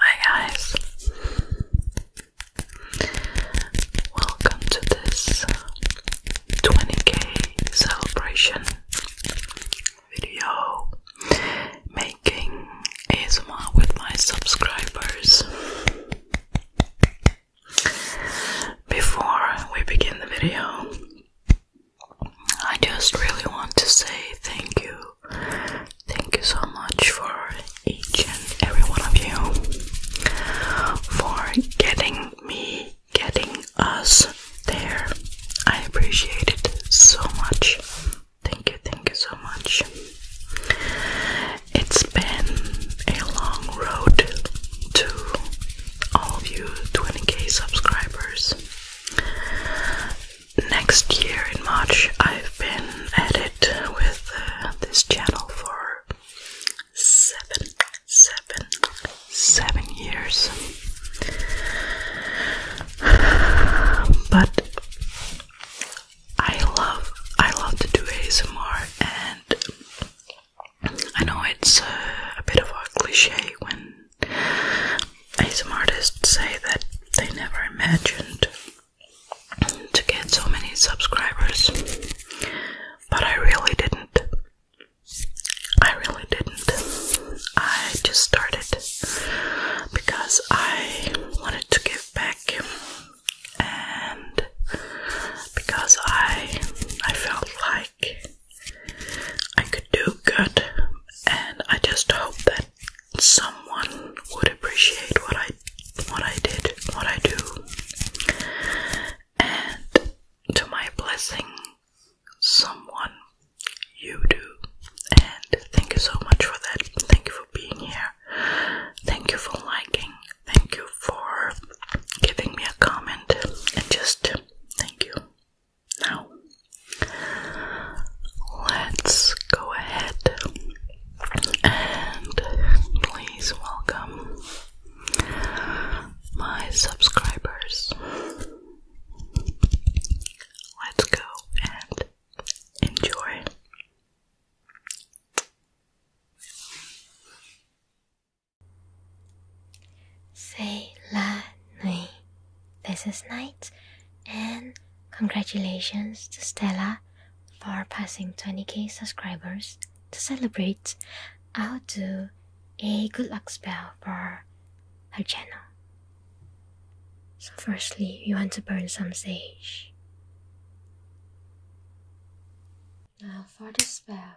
Hi guys, welcome to this 20k celebration video making ASMR with my subscribers. Before we begin the video, I just really want to say thank you. Thank you so much for each and every one of you for getting me, getting us there. I appreciate it so much. Thank you, thank you so much. It's been a long road to all of you 20k subscribers. Next year in March, I've been at it with uh, this channel for seven, seven, seven years. But I love, I love to do ASMR, and I know it's uh, a bit of a cliche when some artists say that they never imagined to get so many subscribers, but I really didn't. I really didn't. I just started because I wanted to give back and because I I felt like I could do good, and I just hope that someone would appreciate what I what I did, what I do. And to my blessing, someone you do. And thank you so much for that. Thank you for being here. Thank you for liking. Thank you for giving me a comment. And just thank you. Now, let's go ahead and please welcome my subscribers. Let's go and enjoy. Say la nuit. This is night, and congratulations to Stella for passing 20k subscribers. To celebrate, I'll do a good luck spell for her channel. So, firstly, we want to burn some sage. Now, for the spell,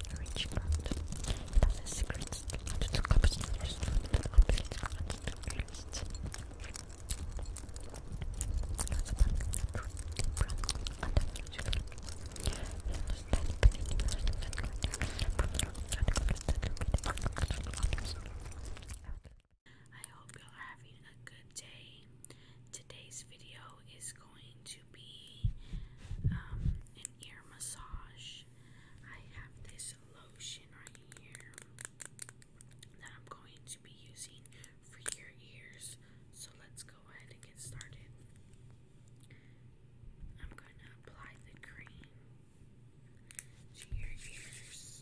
I hope you're having a good day. Today's video is going to be um, an ear massage. I have this lotion right here that I'm going to be using for your ears. So let's go ahead and get started. I'm going to apply the cream to your ears.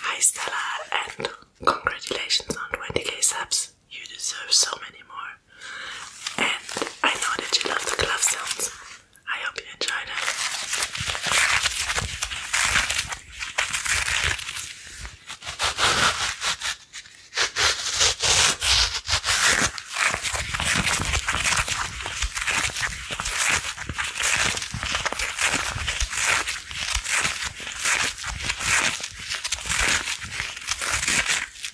Hi Stella and congratulations on 20k subs. You deserve so many more. And I know that you love the glove sounds. I hope you enjoy them.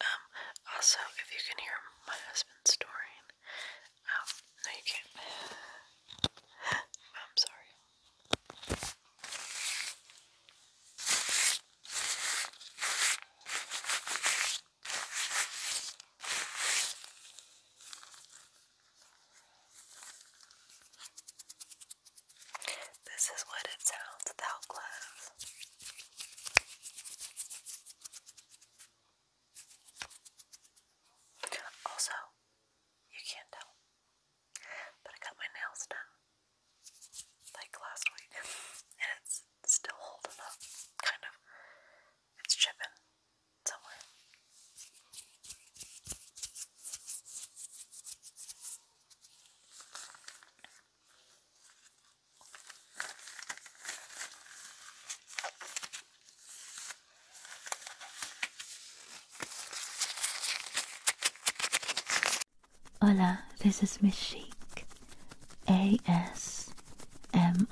Um, also, if you can hear my husband's story. Um, no, you can't. I'm sorry. This is what it sounds without gloves. Also, you can't tell, but I got my nails done like last week, and it's still holding up, kind of. It's chipping somewhere. Hola, this is Miss Chic, ASMR, and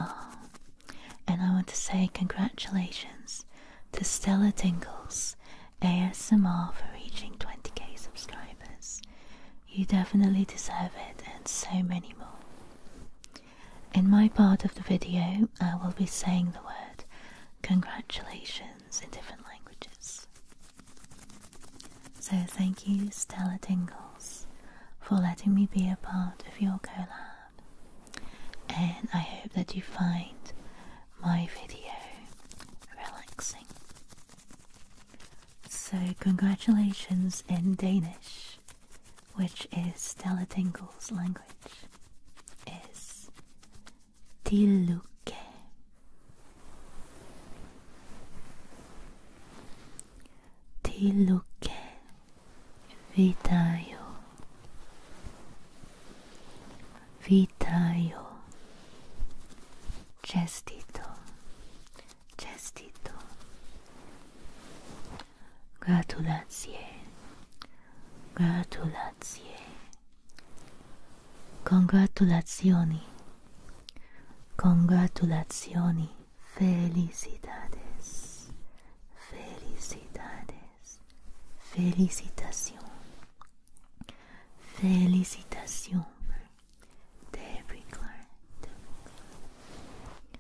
I want to say congratulations to Stella Tinkles, ASMR for reaching 20k subscribers. You definitely deserve it, and so many more. In my part of the video, I will be saying the word congratulations in different languages. So, thank you, Stella Dingles, for letting me be a part of your collab, and I hope that you find my video relaxing. So, congratulations in Danish which is Stella Tingle's language, is Tiluke. Tiluke Vitayo Vitayo Chestito Chestito Gratulacje. Gratulacje. Congratulazioni. Congratulazioni. Felicidades. Felicidades. Felicitación. Felicitación. Tebriklar. Tebriklar.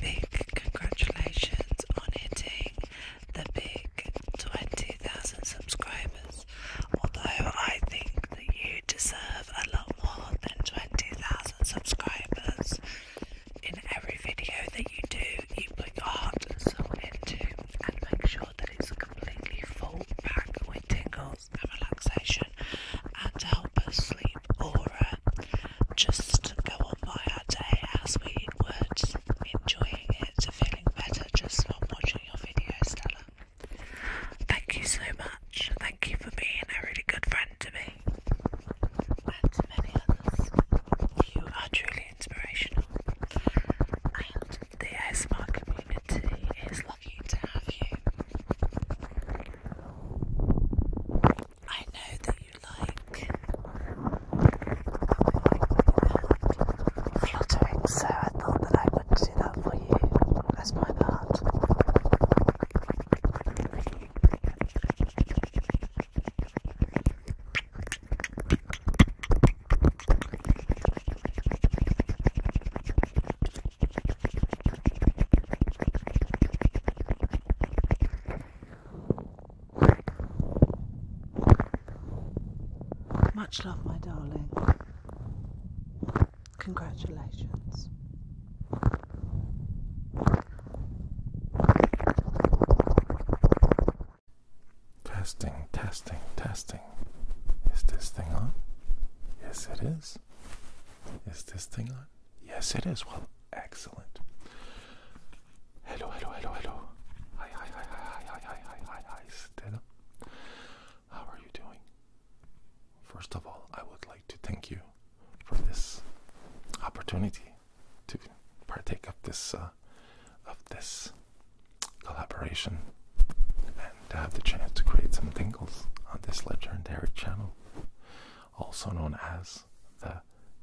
Big congratulations on hitting the big 20,000 subscribers. Although I think that you deserve a lot more than 20,000 subscribers. In every video that you do, you put your heart and soul into and make sure that it's a completely full, packed with tingles and relaxation and to help us sleep or just go on by our day as we would, enjoying it, feeling better just from watching your videos, Stella. Thank you so much. Thank you for being a really good friend to me and to many others. You are truly inspirational, and the ASMR community is lucky to have you. I know that you like fluttering, so I thought that I would do that for you as my part. Much love, my darling. Congratulations. Testing, testing, testing. Is this thing on? Yes, it is. Is this thing on? Yes, it is. Well, excellent. Hello, hello, hello, hello. Hi, hi, hi, hi, hi, hi, hi, hi, hi, Stella. How are you doing? First of all, I would like to thank you for this opportunity to partake of this uh, of this collaboration and to have the chance to create some tingles on this legendary channel, also known as the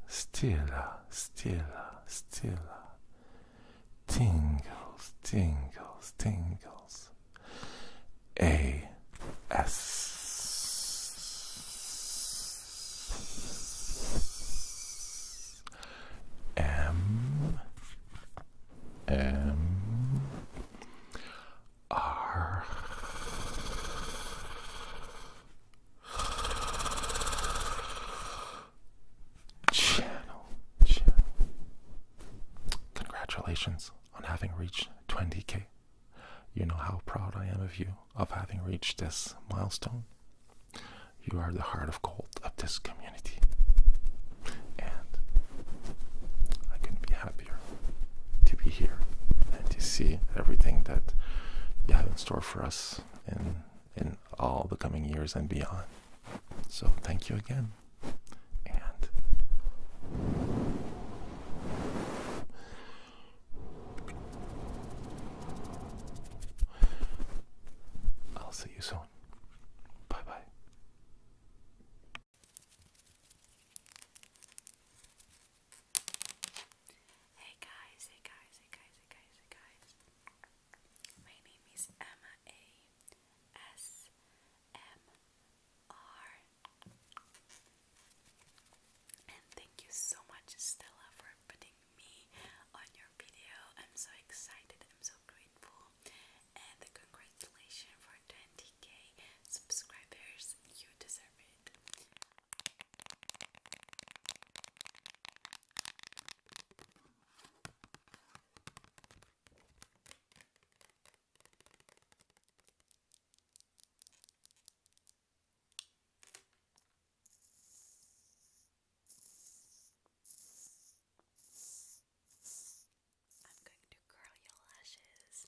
stilla, stilla, stilla. Tingles, tingles, tingles. A S. M M are. channel. Congratulations on having reached 20k. You know how proud I am of you of having reached this milestone. You are the heart of gold of this community. And I couldn't be happier to be here and to see everything that you have in store for us in in all the coming years and beyond. So thank you again. And I'll see you soon. Bye bye. Hey guys, hey guys, hey guys, hey guys, hey guys. My name is Emma And thank you so much, Stella, for putting me on your video. I'm so excited, I'm so grateful. And congratulations for 20k subscribers, you deserve it. I'm going to curl your lashes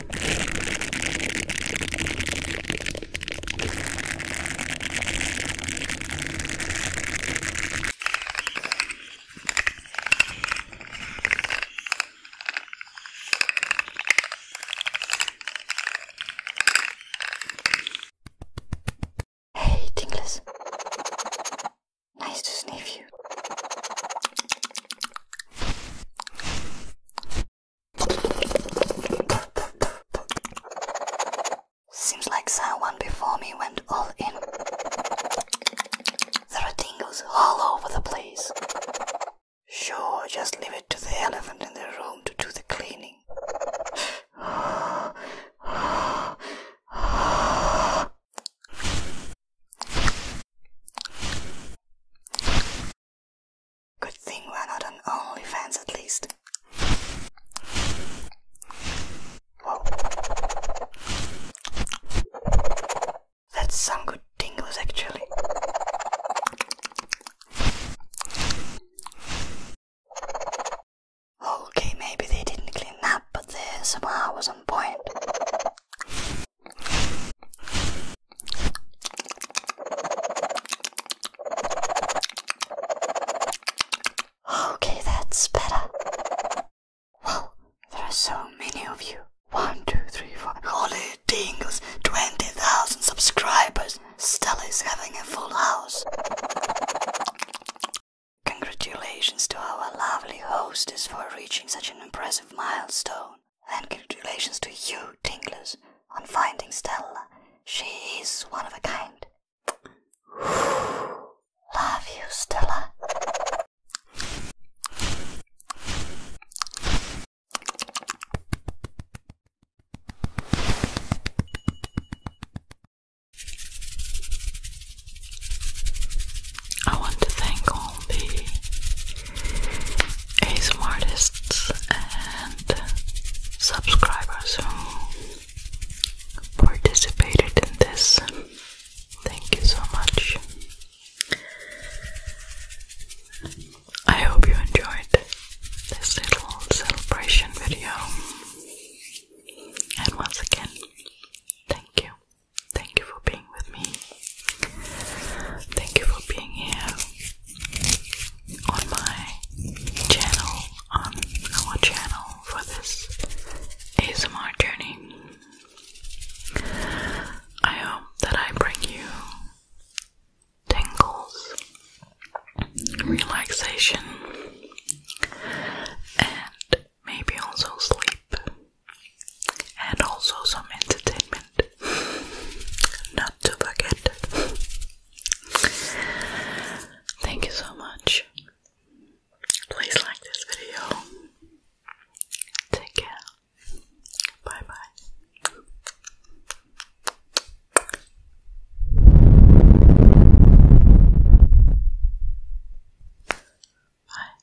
Hey, Tinglers. Nice to sniff you. Seems like someone before me went all in. There are tingles all over the place. Sure, just leave it to the elephant in the room to do the cleaning. Good thing we're not on fans, at least. Whoa. That's some good tingles actually. Okay, maybe they didn't clean up, but they somehow was on point. Okay, that's better. Wow, there are so many of you. One, two, three, four. Holy dingles, 20,000 subscribers. Stella is having a full house. Congratulations to our lovely hostess for reaching such an impressive milestone. And congratulations to you, Tinklers, on finding Stella. She is one of a kind. Love you, Stella. I want to thank all the ASMR artists and subscribers who participated in this. Thank you so much. I hope you enjoyed this little celebration video. And once again, thank you. Thank you for being with me. Thank you for being here on my channel, on our channel for this ASMR journey. I hope that I bring you tingles, relaxation, and maybe also sleep, and also some entertainment. Not not forget. Thank you so much. Please like this video. Take care. Bye bye. Bye.